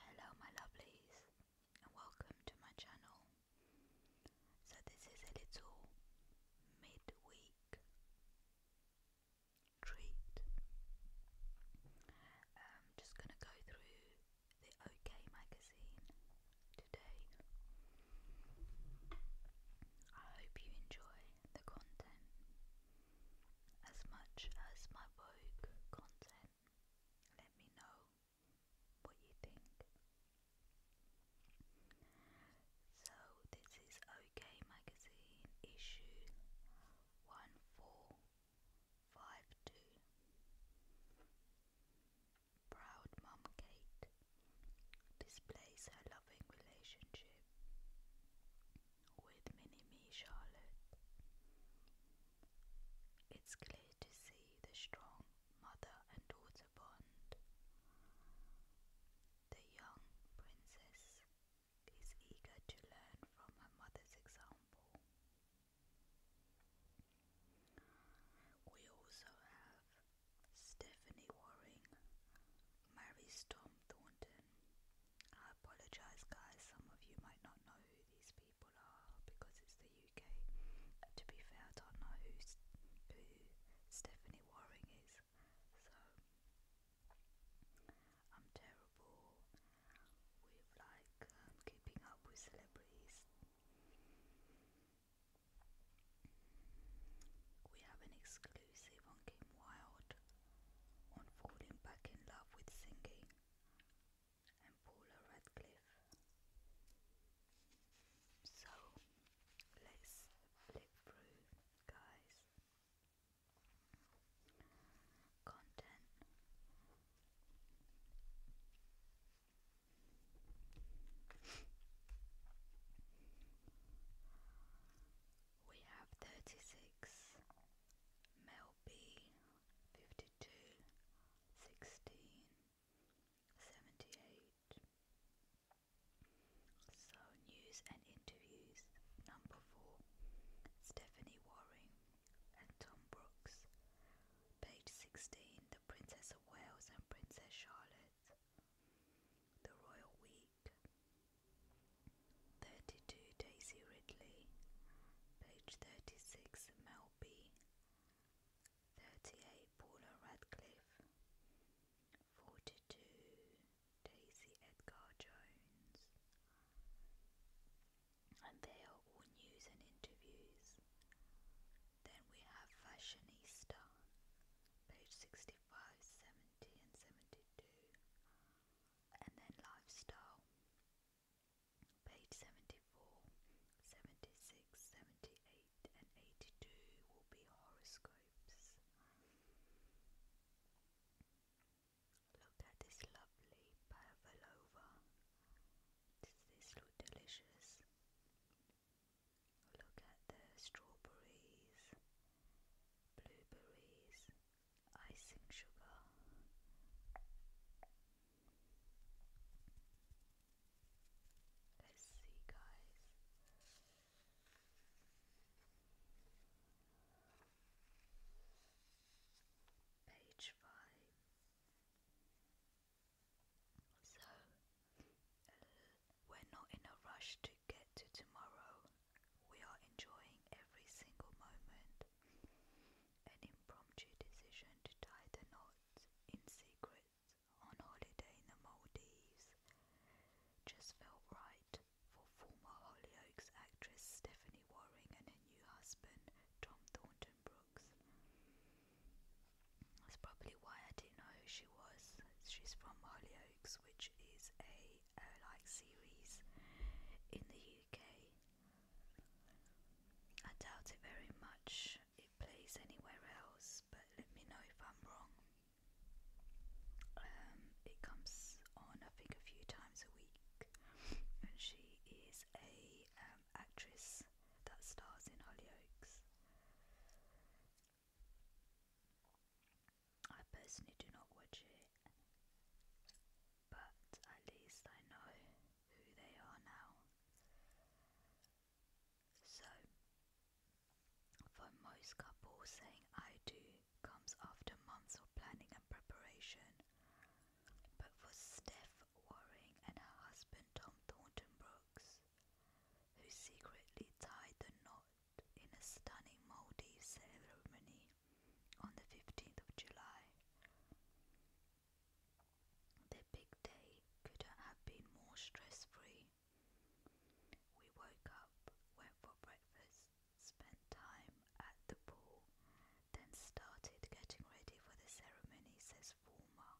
Hello my lovelies and welcome to my channel. So this is a little midweek treat. I'm um, just going to go through the OK magazine today. I hope you enjoy the content as much as my Vogue content. Let me know what you think. So, this is OK Magazine issue 1452. Proud Mum Kate displays her loving relationship with Minnie Me, Charlotte. It's clear to see the strong mother and daughter bond. The young princess is eager to learn from her mother's example. We also have Stephanie Waring, Mary Storm Thornton, I apologise, guys. Some of you might not know who these people are because it's the UK. And to be fair, I don't know who, who Stephanie Waring is. So I'm terrible with like um, keeping up with celebrities. We have an exclusive on Kim Wilde on falling back in love with singing and Paula Radcliffe. So let's flip through, guys. Content. We have 36 Mel B fifty-two, sixteen, seventy-eight. So news and interviews number four, Stephanie Waring and Tom Brooks. Page sixteen, the Princess of Wales and Princess Charlotte. The Royal Week. 32 Daisy Ridley, page 36 Mel B, 38 Paula Radcliffe, 42 Daisy Edgar Jones. And they are all news and interviews. Then we have Fashionista, page 65, and 72. And then Lifestyle, Page 74, and 82 will be horoscopes. Look at this lovely pavlova. Does this look delicious? Look at the strawberries, blueberries, icing sugar. Let's see, guys. Page five. So, we're not in a rush to get to tomorrow. We are enjoying every single moment. An impromptu decision to tie the knot in secret on holiday in the Maldives just felt right for former Hollyoaks actress Stephanie Waring and her new husband Tom Thornton Brooks. That's probably why I didn't know who she was. She's from Hollyoaks, which is a uh, like series in the UK. I doubt it very much it plays anywhere else, but let me know if I'm wrong. Um, it comes on, I think, a few times a week, and she is a um, actress that stars in Hollyoaks. I personally do not watch it, but at least I know who they are now. So, for most couples, saying I do comes after months of planning and preparation. But for Steph Waring and her husband Tom Thornton Brooks, who secretly tied the knot in a stunning Maldives ceremony on the 15th of July, their big day couldn't have been more stress free. We woke up, went for breakfast, spent time at the pool, then started getting ready for the ceremony, says former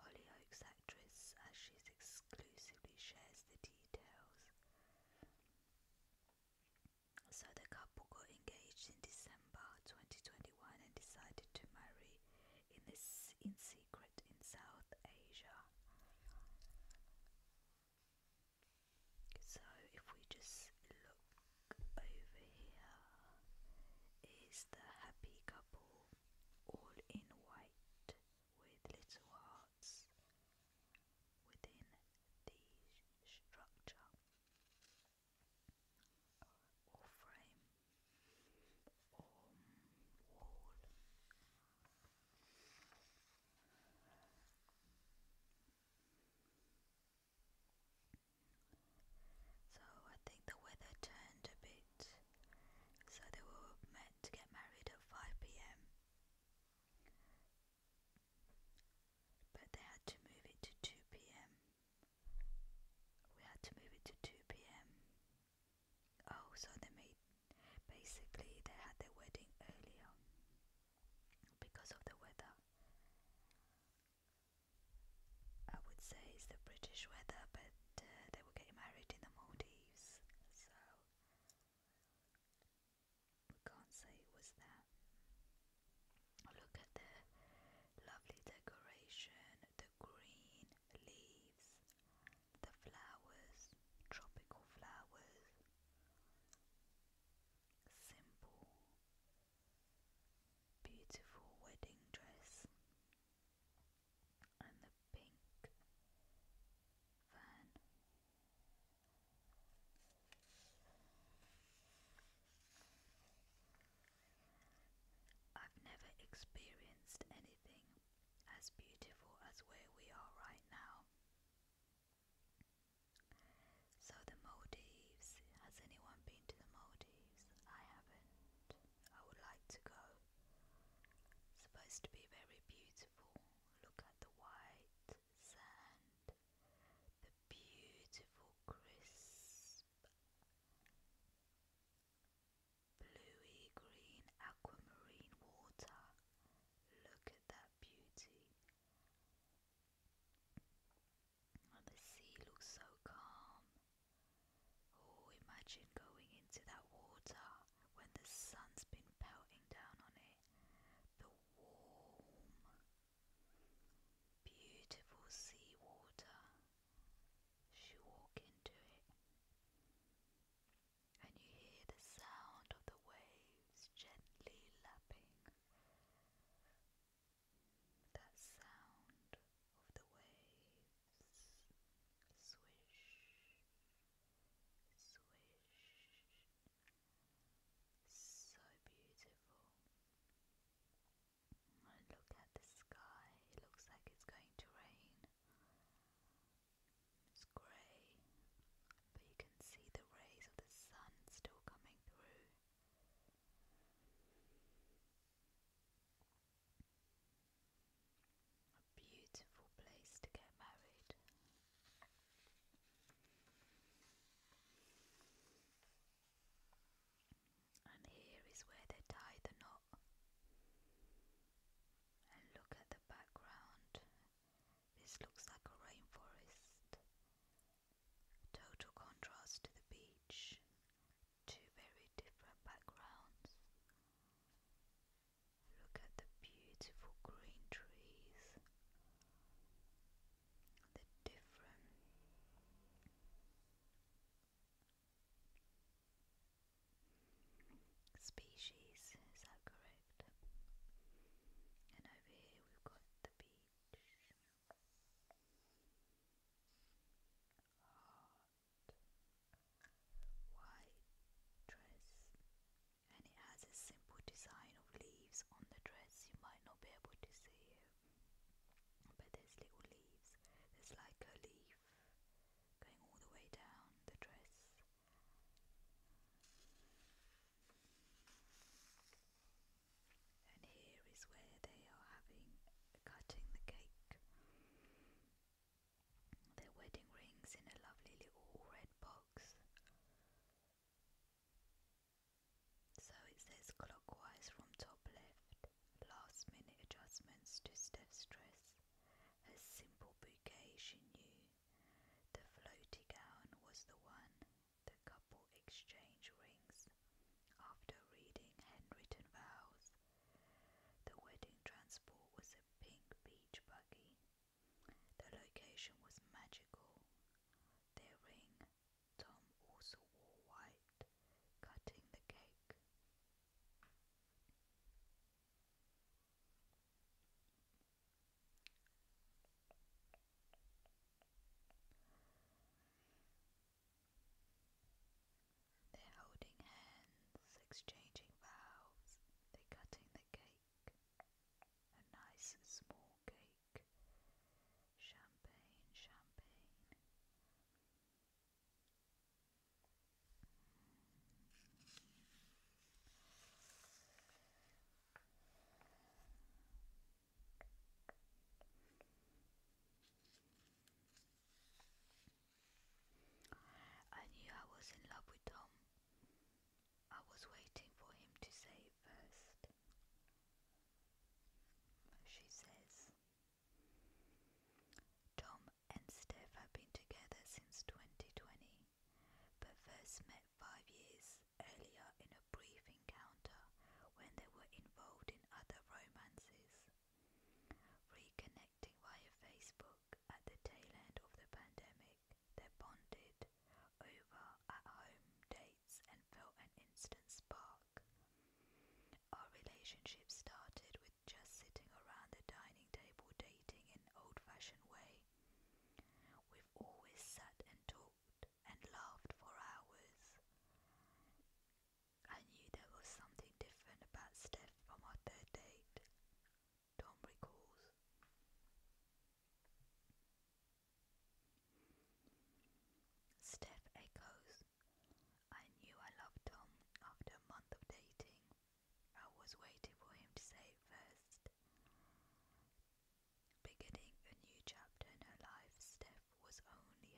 Hollyoaks actress as she exclusively shares the details. So the couple got engaged in December 2021 and decided to marry in in secret in South Asia. So if we just look over here is the happy couple all in white with little hearts within the structure or frame So I think the weather turned a bit, so they were meant to get married at 5 pm. But they had to move it to 2 pm we had to move it to 2 p.m. Oh, so they made basically they had their wedding earlier because of the weather. I would say it's the British weather, but uh, they were getting married in the Maldives, so we can't say it was that. Look at the lovely decoration, the green leaves, the flowers, tropical flowers. Simple, beautiful wedding dress and the pink van. I've never experienced anything as beautiful as where we are right now. So, the Maldives. Has anyone been to the Maldives? I haven't. I would like to go. It's supposed to be very beautiful. Look at the white sand, the beautiful crisp Bluey green aquamarine water. Look at that beauty. And oh, the sea looks so calm. Oh, imagine going into that water when the sun's been pelting down on it. The warm, Beautiful sea water. walk into it. And you hear the sound of the waves gently lapping. That sound of the waves. Swish, swish. So beautiful look at the sky, it looks like it's going to rain. It's grey, but you can see the rays of the sun still coming through. A beautiful place to get married and here is where they tie the knot. And look at the background. This looks like a rainforest. Total contrast to the beach. Two very different backgrounds. Look at the beautiful green trees the different species, is that correct? And over here we've got the beach, heart, white dress, and it has a simple design of leaves on the dress, you might not be able to see it. But there's little leaves. There's like a leaf going all the way down the dress. And here is where they are having cutting the cake. Their wedding rings in a lovely little red box. So it says clockwise from top left, last minute adjustments to Steph's dress, A simple bouquet she knew. The floaty gown was the one. The couple exchange rings after reading handwritten vows. The wedding transport was a pink beach buggy. The location was magical. Their ring, Tom also wore white, cutting the cake. They're holding hands, exchanging vows, they're cutting the cake. A nice small cake. Champagne, champagne. I knew I was in love with Tom. I was waiting for him to say it first. She says. Tom and Steph have been together since 2020, but first met five years earlier in a brief encounter when they were involved in other romances. Reconnecting via Facebook at the tail end of the pandemic, they bonded over at home dates and felt an instant spark talk. Our relationship started with just sitting around the dining table dating in an old fashioned way. We've always sat and talked and laughed for hours. I knew there was something different about Steph from our third date. Tom recalls. Steph echoes I knew I loved Tom after a month of dating. I was waiting for him to say it first. Beginning a new chapter in her life, Steph was only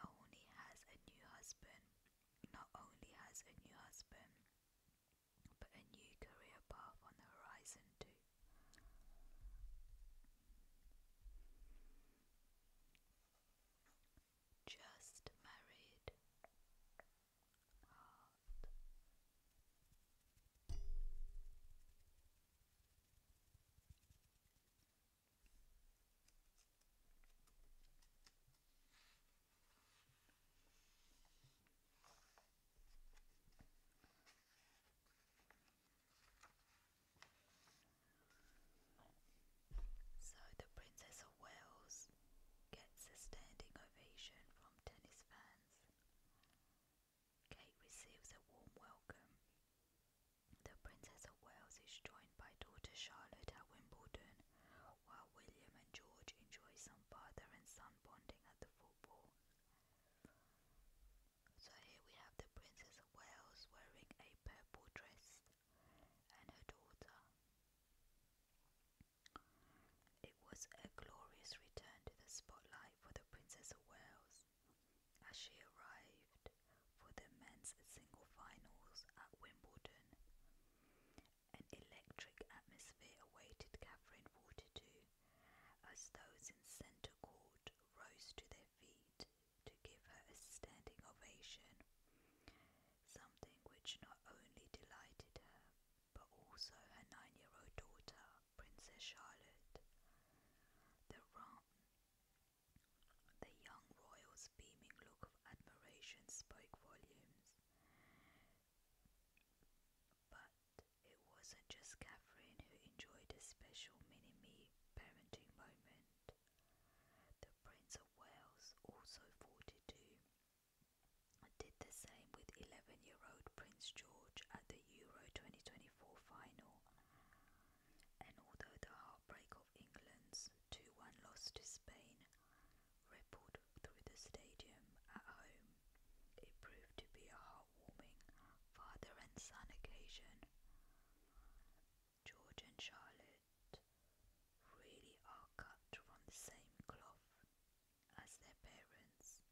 only has a new husband. Not only has a new husband, but a new career path on the horizon too. Just married. So the Princess of Wales gets a standing ovation from tennis fans. Kate receives a warm welcome. The Princess of Wales is joined by daughter Charlotte at Wimbledon, while William and George enjoy some father and son bonding at the football. So here we have the Princess of Wales wearing a purple dress and her daughter. It was a glorious return to the spotlight for the Princess of Wales as she arrived for the men's single finals at Wimbledon. An electric atmosphere awaited Catherine 42 as those in centre court rose to their feet to give her a standing ovation, something which not only delighted her, but also her nine year old daughter, Princess Charlotte. The, young royal's beaming look of admiration spoke volumes. But it wasn't just Catherine who enjoyed a special mini me parenting moment. Prince of Wales also 42. Did the same with 11 year old Prince George at the Euro 2024 final. And although the heartbreak of England's 2 1 loss to Spain rippled through the stadium at home, it proved to be a heartwarming father and son occasion. George and Charlotte really are cut from the same cloth as their parents.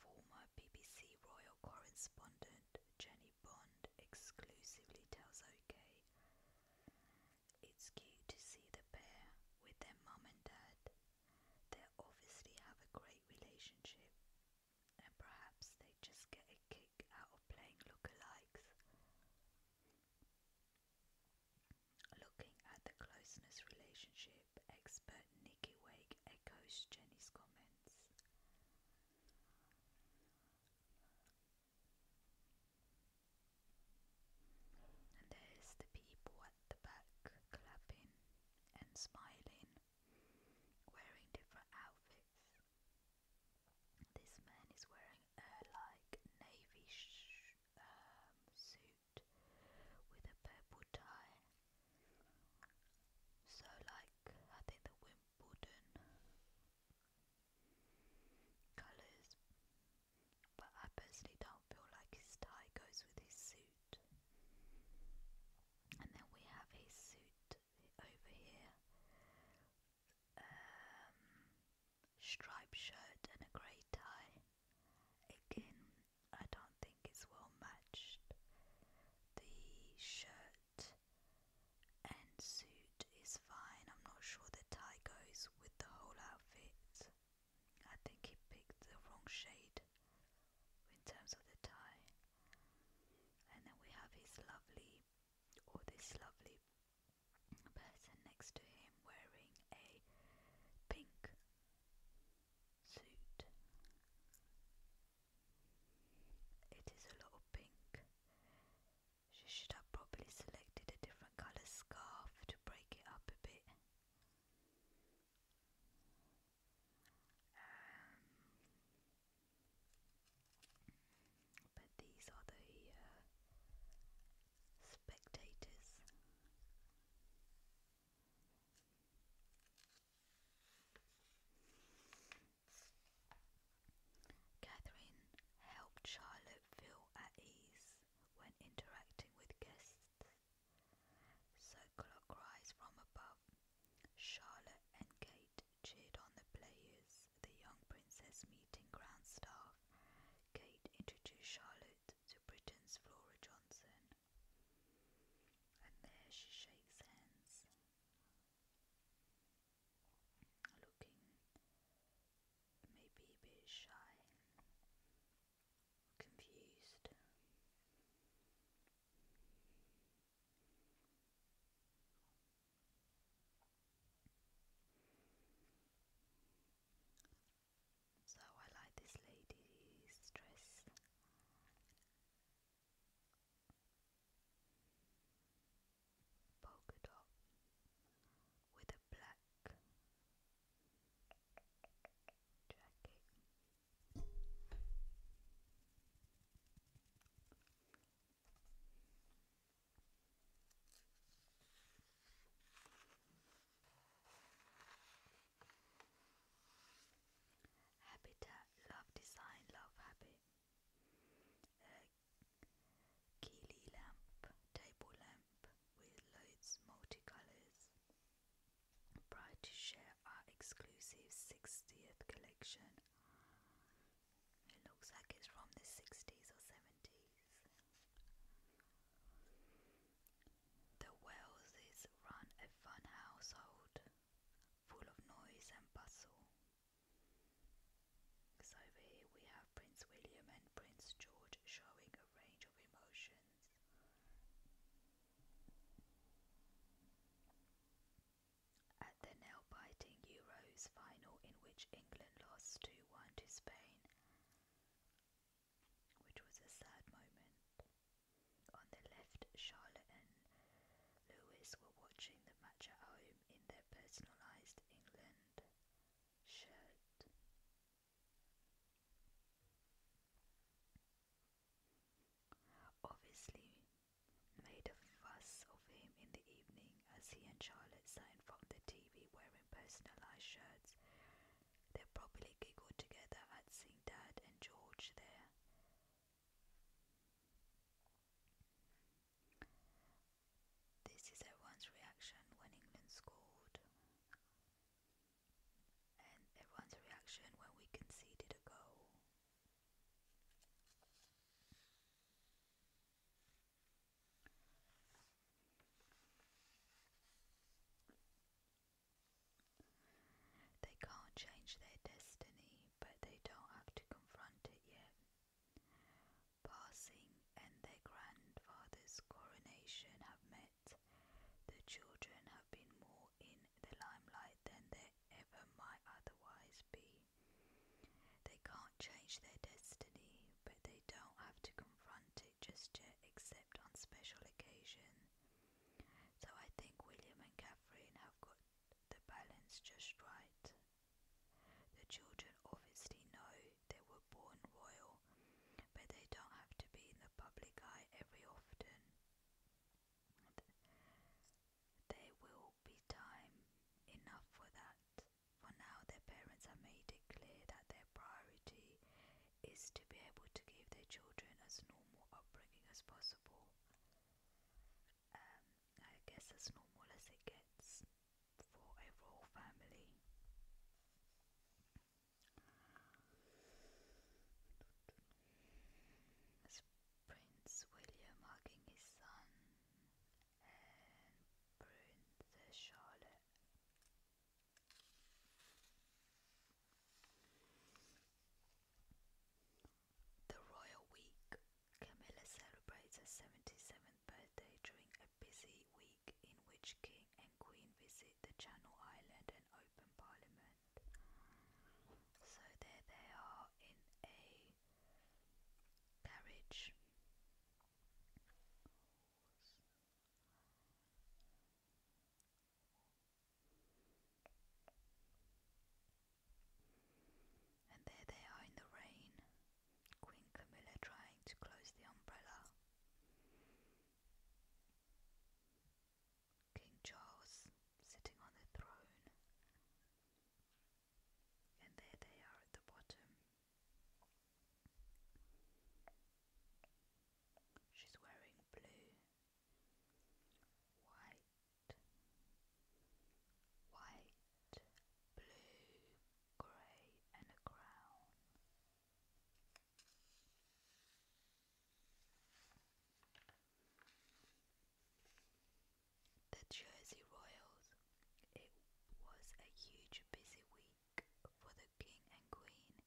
Former BBC royal correspondent Jenny Bond exclusively tells OK it's cute to see the pair with their mum and dad. They obviously have a great relationship and perhaps they just get a kick out of playing lookalikes. Looking at the closeness relationship, expert Nikki Wake echoes Jenny's comments. And there's the people at the back clapping and smiling, wearing different outfits. This man is wearing a like navy um, suit with a purple tie. So like I think the Wimbledon colours, but I personally don't feel like his tie goes with his suit. And then we have his suit over here um, striped shirt and a grey tie. Again, I don't think it's well matched. The shirt and suit is fine. I'm not sure the tie goes with the whole outfit. I think he picked the wrong shade in terms of the tie. And then we have his lovely or this lovely person next to him wearing a pink suit. It is a lot pink. She should have probably selected a different colour scarf to break it up a bit. Um, but these are the uh, spectators. Catherine helped Charlotte feel at ease when interacting with guests. So clockwise from above, Charlotte and Kate cheered on the players, the young princess meeting ground staff. Kate introduced Charlotte to Britain's Flora Johnson. And there she shakes hands, looking maybe a bit shy, confused. So I like this lady's dress. Polka dot with a black jacket. Habitat Love Design Love Habit a uh, Keeley lamp, table lamp with loads multicolours. Proud to share our exclusive 60th collection it looks like it's from the 60s or 70s. The Wellses run a fun household full of noise and bustle. So over here we have Prince William and Prince George showing a range of emotions. At the nail-biting Euros final in which England lost 2-1 to Spain, which was a sad moment. On the left, Charlotte and Louis were watching the match at home in their personalised England shirt. Obviously, made a fuss of him in the evening as he and Charlotte signed from the TV wearing personalized shirts. They probably giggled together at seeing Dad and George there. This is everyone's reaction when England scored, and everyone's reaction when we conceded a goal. They can't change their destiny, but they don't have to confront it yet. Passing and their grandfather's coronation have met. The children have been more in the limelight than they ever might otherwise be. They can't change their destiny, but they don't have to confront it just yet, except on special occasion. So I think William and Catherine have got the balance just right. The children obviously know they were born royal, but they don't have to be in the public eye every often. There will be time enough for that. For now, their parents have made it clear that their priority is to be able to give their children as normal upbringing as possible. Um, I guess as normal as it gets for a royal family. Prince William hugging his son and prune the The royal week. Camilla celebrates her 77th birthday during a busy week in which king and queen visit the Channel Island and open parliament. So there they are in a carriage and there they are in the rain, Queen Camilla trying to close the umbrella. King Charles sitting on the throne, and there they are at the bottom. She's wearing blue, white, white, blue, grey, and a crown. The Jersey Royals. It was a huge busy week for the King and Queen,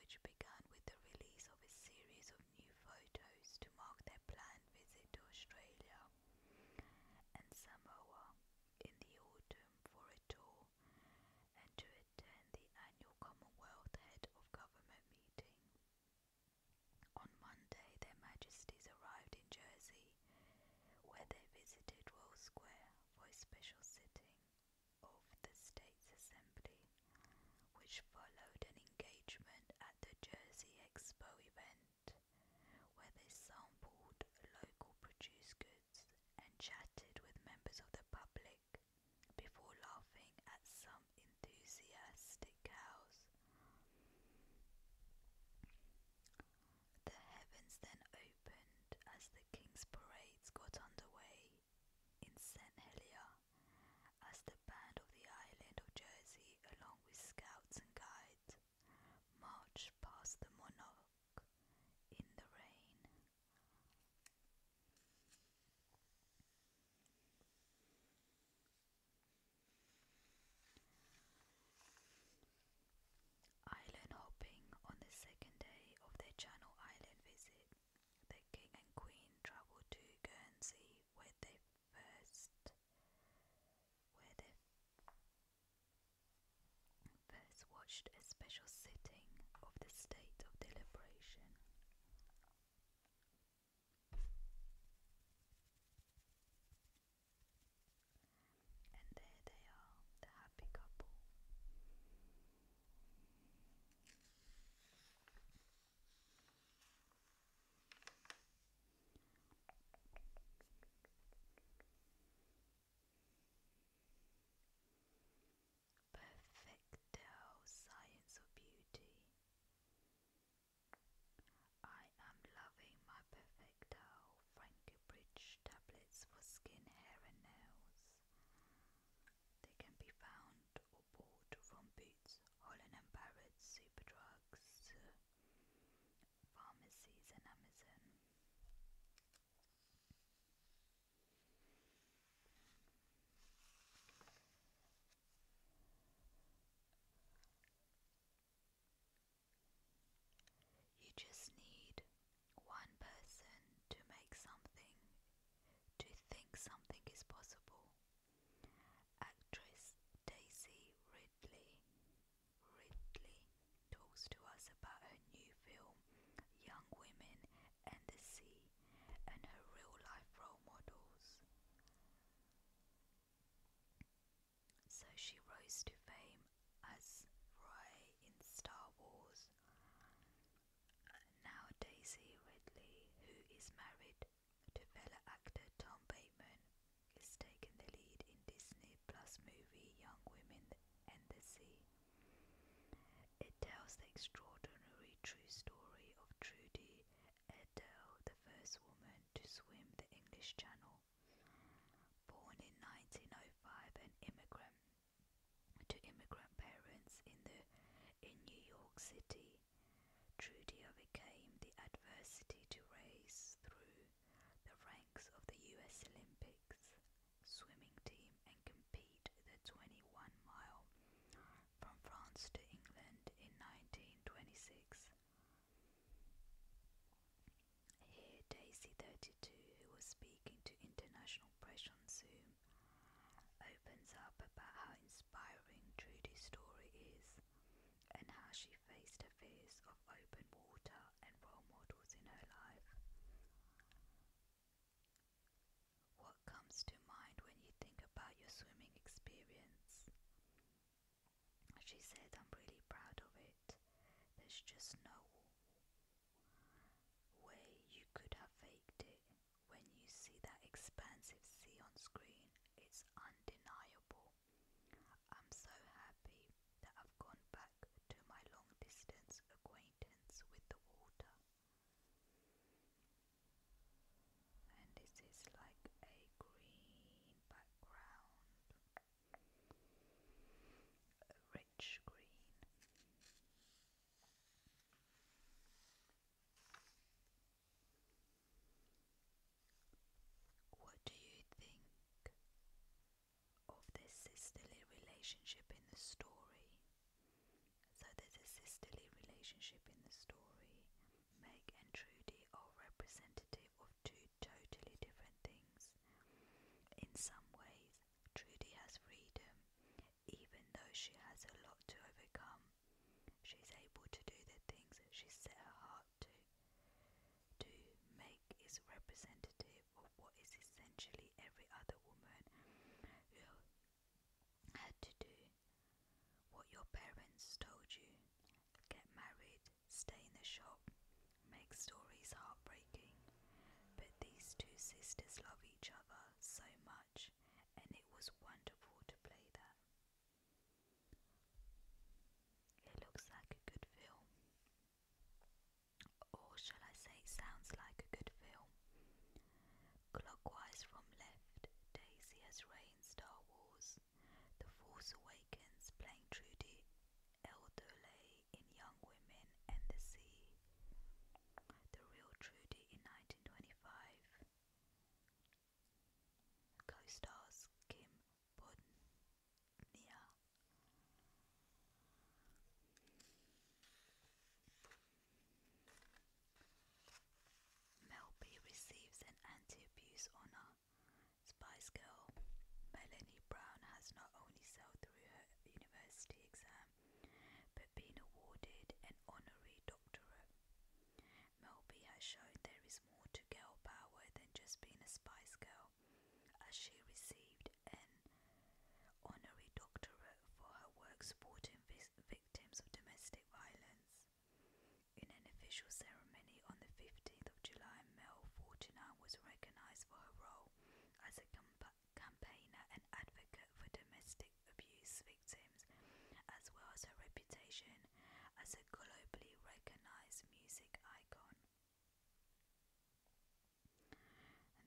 which began with the release of a series of new photos to mark their planned visit to Australia and Samoa in the autumn for a tour and to attend the annual Commonwealth Head of Government meeting. On Monday, Their Majesties arrived in Jersey where they visited Roll Square for a special sitting of the States Assembly, which followed an engagement at the Jersey Expo event, where they sampled local produced goods and chatted with members of the public before laughing at some enthusiastic cows. The heavens then opened as the king's parades got underway in St. Helier, as the band of the island of Jersey, along with scouts and guides, marched past the monarch in the rain. Island hopping on the second day of their Channel Island visit, the king and queen travelled to Guernsey where they first where they first watched a special sitting of the state of deliberation. And there they are, the happy couple. Perfecto science of beauty. I am loving my perfecto. Frankenbridge tablets for skin, hair and nails. They can be found or bought from Boots, Holland and Barrett, Superdrugs, uh, pharmacies and Amazon. You just need one person to make something, to think something is possible. Actress Daisy Ridley Ridley talks to us about her new film, Young Women and the Sea, and her real life role models. So she rose to fame as Rey in Star Wars. Now Daisy Ridley, who is married to fellow actor Tom Bateman, is taking the lead in Disney Plus movie Young Women and the Sea. It tells the extraordinary true story of Trudy Edel, the first woman to swim the English Channel. Born in 1905, an immigrant to immigrant parents in the in New York City, Trudy overcame the adversity to race through the ranks of the U.S. Olympics swimming team and compete the 21 mile from France to England in 1926. Here, Daisy32, who was speaking to international press on Zoom, opens up about how inspiring Trudy's story is and how she faced her fears of open water and role models in her life. What comes to mind when you think about your swimming experience? She said, I'm really proud of it. There's just no way you could have faked it. When you see that expansive sea on screen, it's undeniable. I'm so happy that I've gone back to my long distance acquaintance with the water. And this is like a green background a rich green. What do you think of this sisterly relationship in the story? So, there's a sisterly relationship in the story. Meg and Trudy are representative of two totally different things. In some ways, Trudy has freedom, even though she has a lot to overcome. She's able to do the things that she set her heart to. To make is representative of what is essentially every other woman who had to do what your parents told you. Get married, stay in the shop, make stories heartbreaking, but these two sisters love each other so much, and it was wonderful to play that. It looks like a good film. Or shall I say, sounds like a good film. Clockwise from left, Daisy has Ray in Star Wars, The Force Awakens playing Trudy Elderley in Young Women and the Sea, The Real Trudy in 1925. Co-stars Kim Bodnia. Melby receives an anti-abuse honor. Spice Girl Melanie Brown has not only sold through her university exam, but been awarded an honorary doctorate. Melby has shown there is more to girl power than just being a Spice Girl, as she received an honorary doctorate for her work supporting victims of domestic violence. In an official ceremony on the 15th of July, Mel Fortunan was recognized for her role as a companion campaigner and advocate for domestic abuse victims, as well as her reputation as a globally recognized music icon.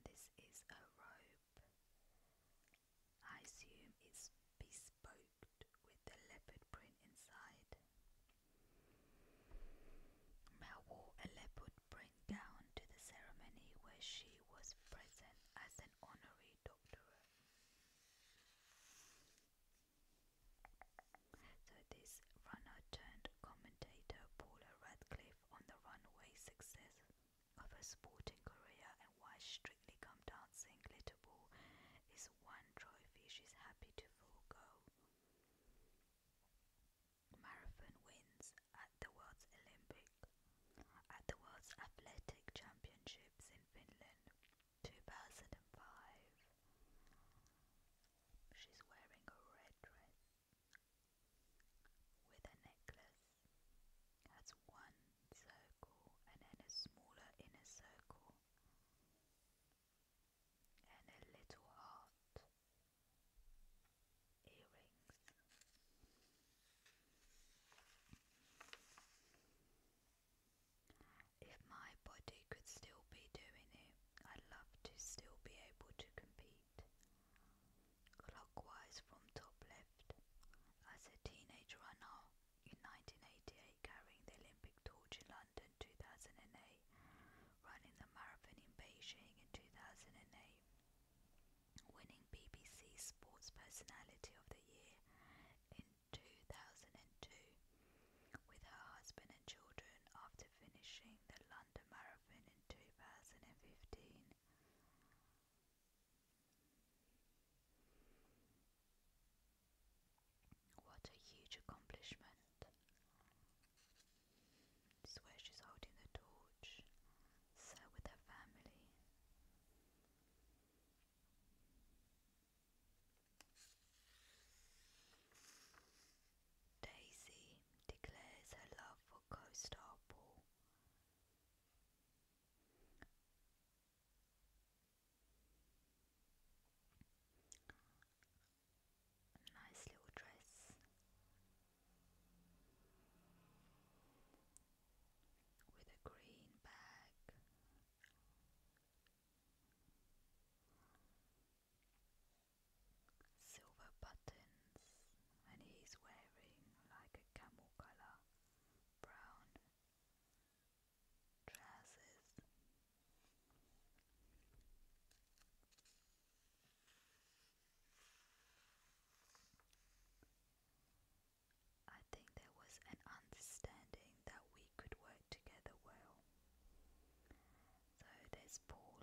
And this is a robe. I assume it's bespoke with the leopard print inside. Mel wore a leopard bring down to the ceremony where she was present as an honorary doctorate. So this runner turned commentator Paula Radcliffe on the runway success of her sporting career and why Strictly Come Dancing Glitterball is one trophy she's happy to forego marathon wins at the World's Olympic at the World's Athletic Championships in Finland 2005. She's wearing a red dress with a necklace. Has one circle and then a smaller inner circle and a little heart earrings. If my body could still be doing it, I'd love to still be able to compete. Clockwise from top left. As a teenage runner in 1988, carrying the Olympic torch in London 2008, running the marathon in Beijing in 2008, winning BBC Sports Personality of the Year in 2002 with her husband and children after finishing the London Marathon in 2015. What a huge accomplishment! It's where she's holding the torch, so with her family. Daisy declares her love for co nice little dress with a green bag. Silver buttons, and he's wearing like a camel colour brown trousers. I think there was an understanding that we could work together well. So there's Paul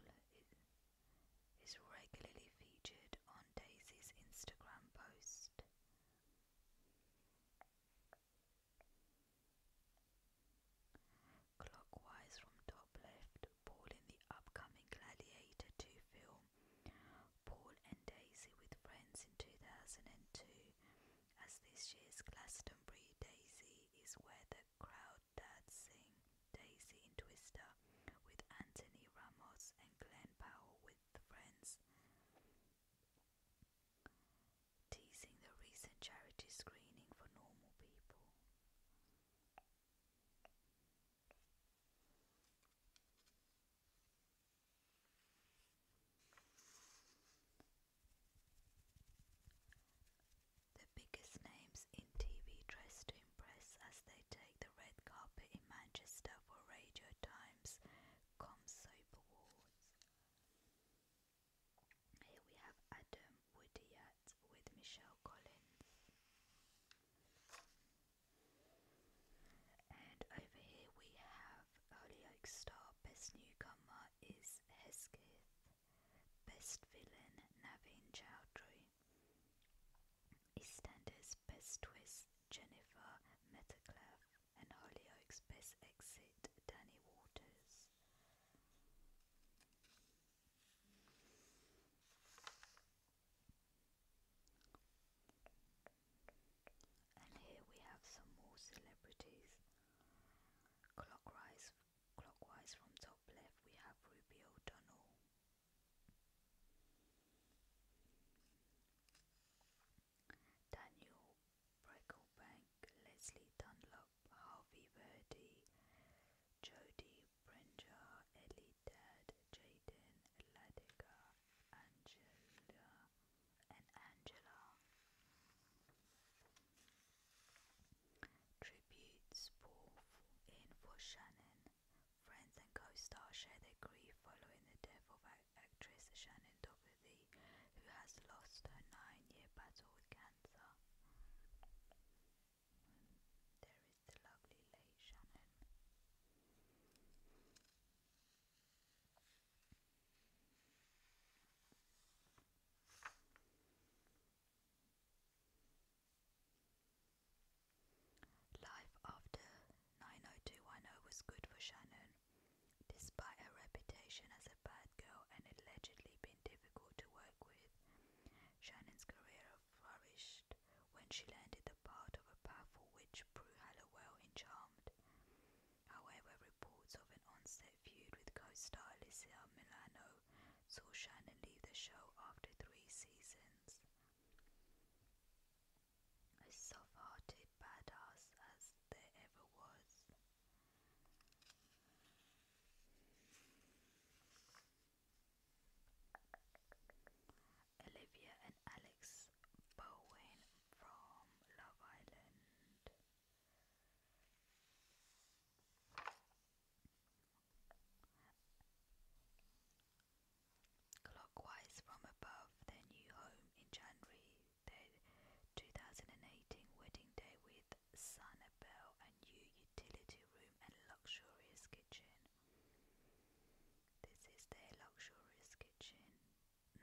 is regularly featured on Daisy's Instagram post. Clockwise from top left Paul in the upcoming Gladiator 2 film. Paul and Daisy with friends in 2002, as this year's Glastonbury Daisy is where the crowd dads sing Daisy in Twister with Anthony Ramos and Glenn Powell with friends. Teasing the recent charity screening for normal people. The biggest names in TV dress to impress as they take the red carpet in Manchester for Radio Times Com Awards. Here we have Adam Woodyatt with Michelle Collins. And over here we have Hollyoaks star Best Newcomer is Hesketh. Best Villain Naveen Chowdhury. EastEnders Best Twist Jennifer Metaclef and Hollyoaks Best Exit Danny Waters. And here we have some more celebrities. Clockwise, clockwise from top left, we have Ruby O'Donnell. Daniel Brecklebank, Leslie Dunlop, Harvey Verdi, Jodie Brenda, Elitad, Jaden, Ladika, Angela, and Angela. Tributes pour in for Shannon. Friends and co stars share their grief following the death of actress Shannon Doherty, who has lost her nine-year battle with cancer. There is the lovely Leigh Shannon. Life after 90210 was good for Shannon, despite her reputation as a bad girl and allegedly being difficult to work with. Shannon's career flourished when she landed the part of a powerful witch Prue Hallowell in Charmed. However, reports of an on-set feud with co-star Alicia Milano saw Shannon leave the show after three seasons. A soft-hearted badass as there ever was. Olivia and Alex Bowen from Love Island. Clockwise from above, their new home in January, their 2018 wedding day with Sanibel, a new utility room and luxurious kitchen. This is their luxurious kitchen.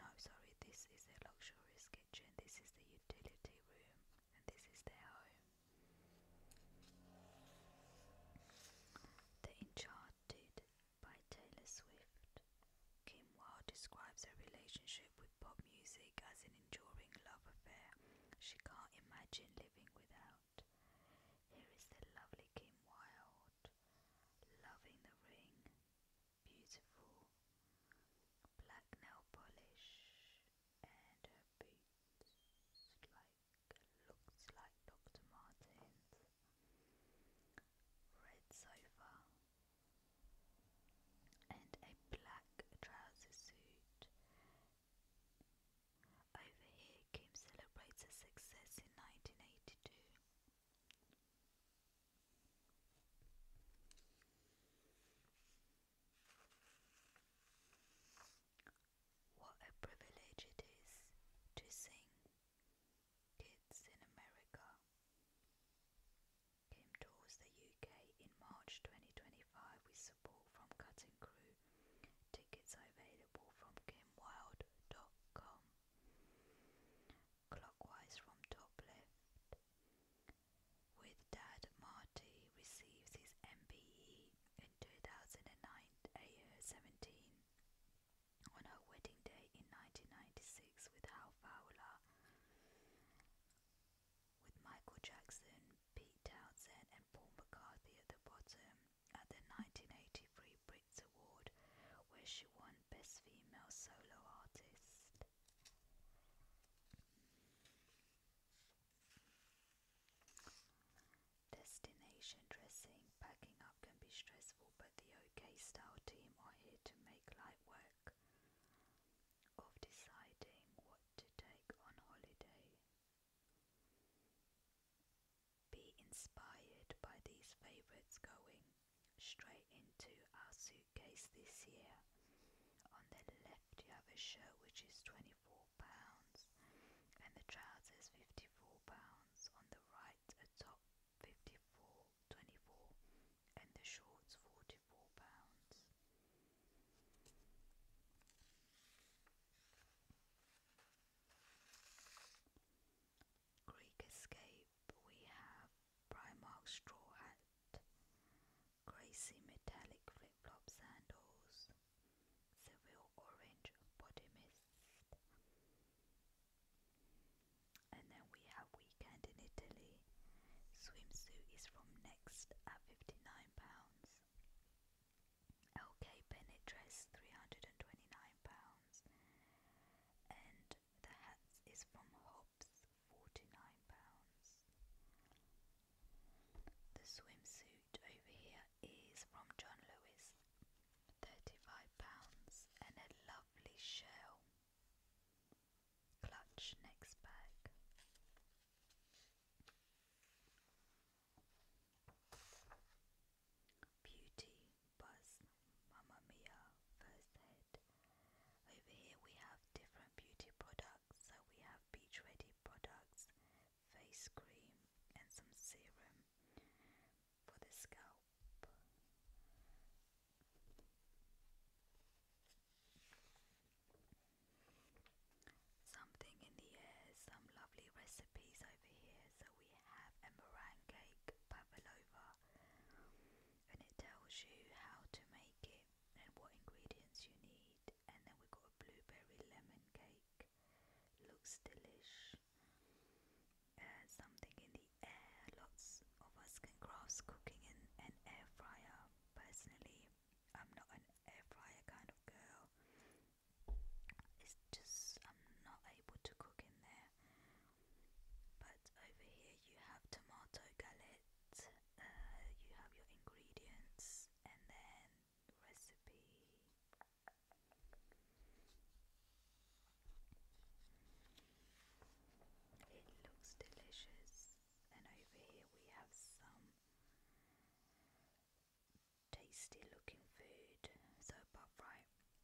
No, sorry, this is their luxurious kitchen. This is the utility room, and this is their home. The Enchanted by Taylor Swift. Kim Wilde describes her relationship with pop music as an enduring love affair she can't imagine living without out. Here is the lovely Kim Wilde, loving the ring, beautiful black nail polish, and her boots like looks like Dr. Martens. Red sofa and a black trouser suit over here, Kim celebrates her success in 1982. What a privilege it is to sing Kids in America. Kim tours the UK in March 2025 with support from Cutting Crew Tickets are available from GameWild.com. Clockwise from top left. With Dad, Marty receives his MBE in 2017 on her wedding day in 1996 with Hal Fowler, with Michael Jackson, Pete Townsend, and Paul McCarthy at the bottom at the 1983 Brits Award, where she won Best Female Solo Artist. Destination dressing, packing up can be stressful, but the OK Style team are here to make light work of deciding what to take on holiday be inspired by these favorites going straight into our suitcase this year. On the left you have a shirt which is £24 and the trousers £54. On the right a top £54, 24 and the shorts £44. Greek Escape, we have Primark straw hat, Gracie metallic flip-flop sandals, Seville orange body mist. And then we have Weekend in Italy. Swimsuit is from Next at £59. LK Bennett dress £329. And the hat is from Hobbs, £49. The swimsuit over here is from John Lewis, £35. And a lovely shell clutch next bag. Beauty, Buzz, Mamma Mia, First Aid. Over here we have different beauty products. So we have beach ready products, face cream, and some serum for the scalp. Something in the air, some lovely recipes so we have a meringue cake pavlova, and it tells you how to make it and what ingredients you need. And then we've got a blueberry lemon cake, looks delish. Uh, something in the air. Lots of us can grasp cooking in an air fryer. Personally, I'm not an air fryer kind of girl. It's just, I'm not able to cook in there. But over here you have tomato galette, uh, you have your ingredients, and then recipe. It looks delicious, and over here we have some tasty looking food. So, but right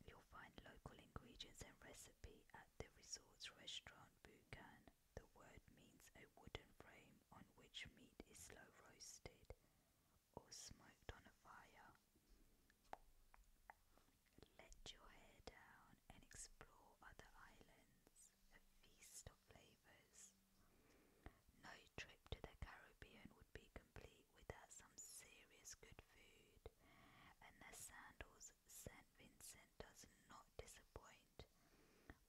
you'll find local ingredients and recipe at the resort's restaurant Bukan. The word means a wooden frame on which meat is slow roasted or smoked on a fire. Let your hair down and explore other islands, a feast of flavors. No trip to the Caribbean would be complete without some serious good food and the sandals St. Vincent does not disappoint,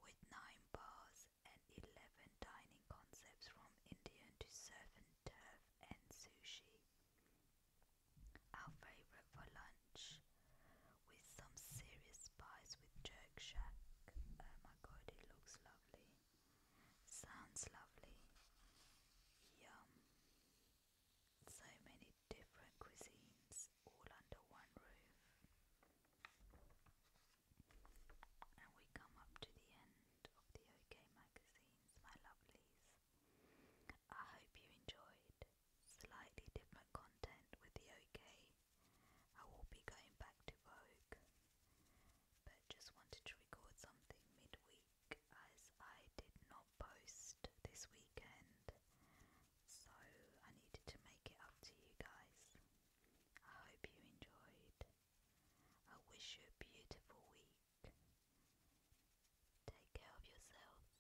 with nine bars and 11 dining concepts from Indian to surf and turf and sushi. Our favorite for lunch with some serious spice with jerk shack. Oh my god, it looks lovely. Sounds lovely. Yum. So many different cuisines all under one roof. And we come up to the end of the OK magazines, my lovelies. I hope you enjoyed slightly different content with the OK. I will be going back to Vogue, but just wanted to record something midweek as I did not post this weekend, so I needed to make it up to you guys. I hope you enjoyed. I wish you a beautiful week. Take care of yourself.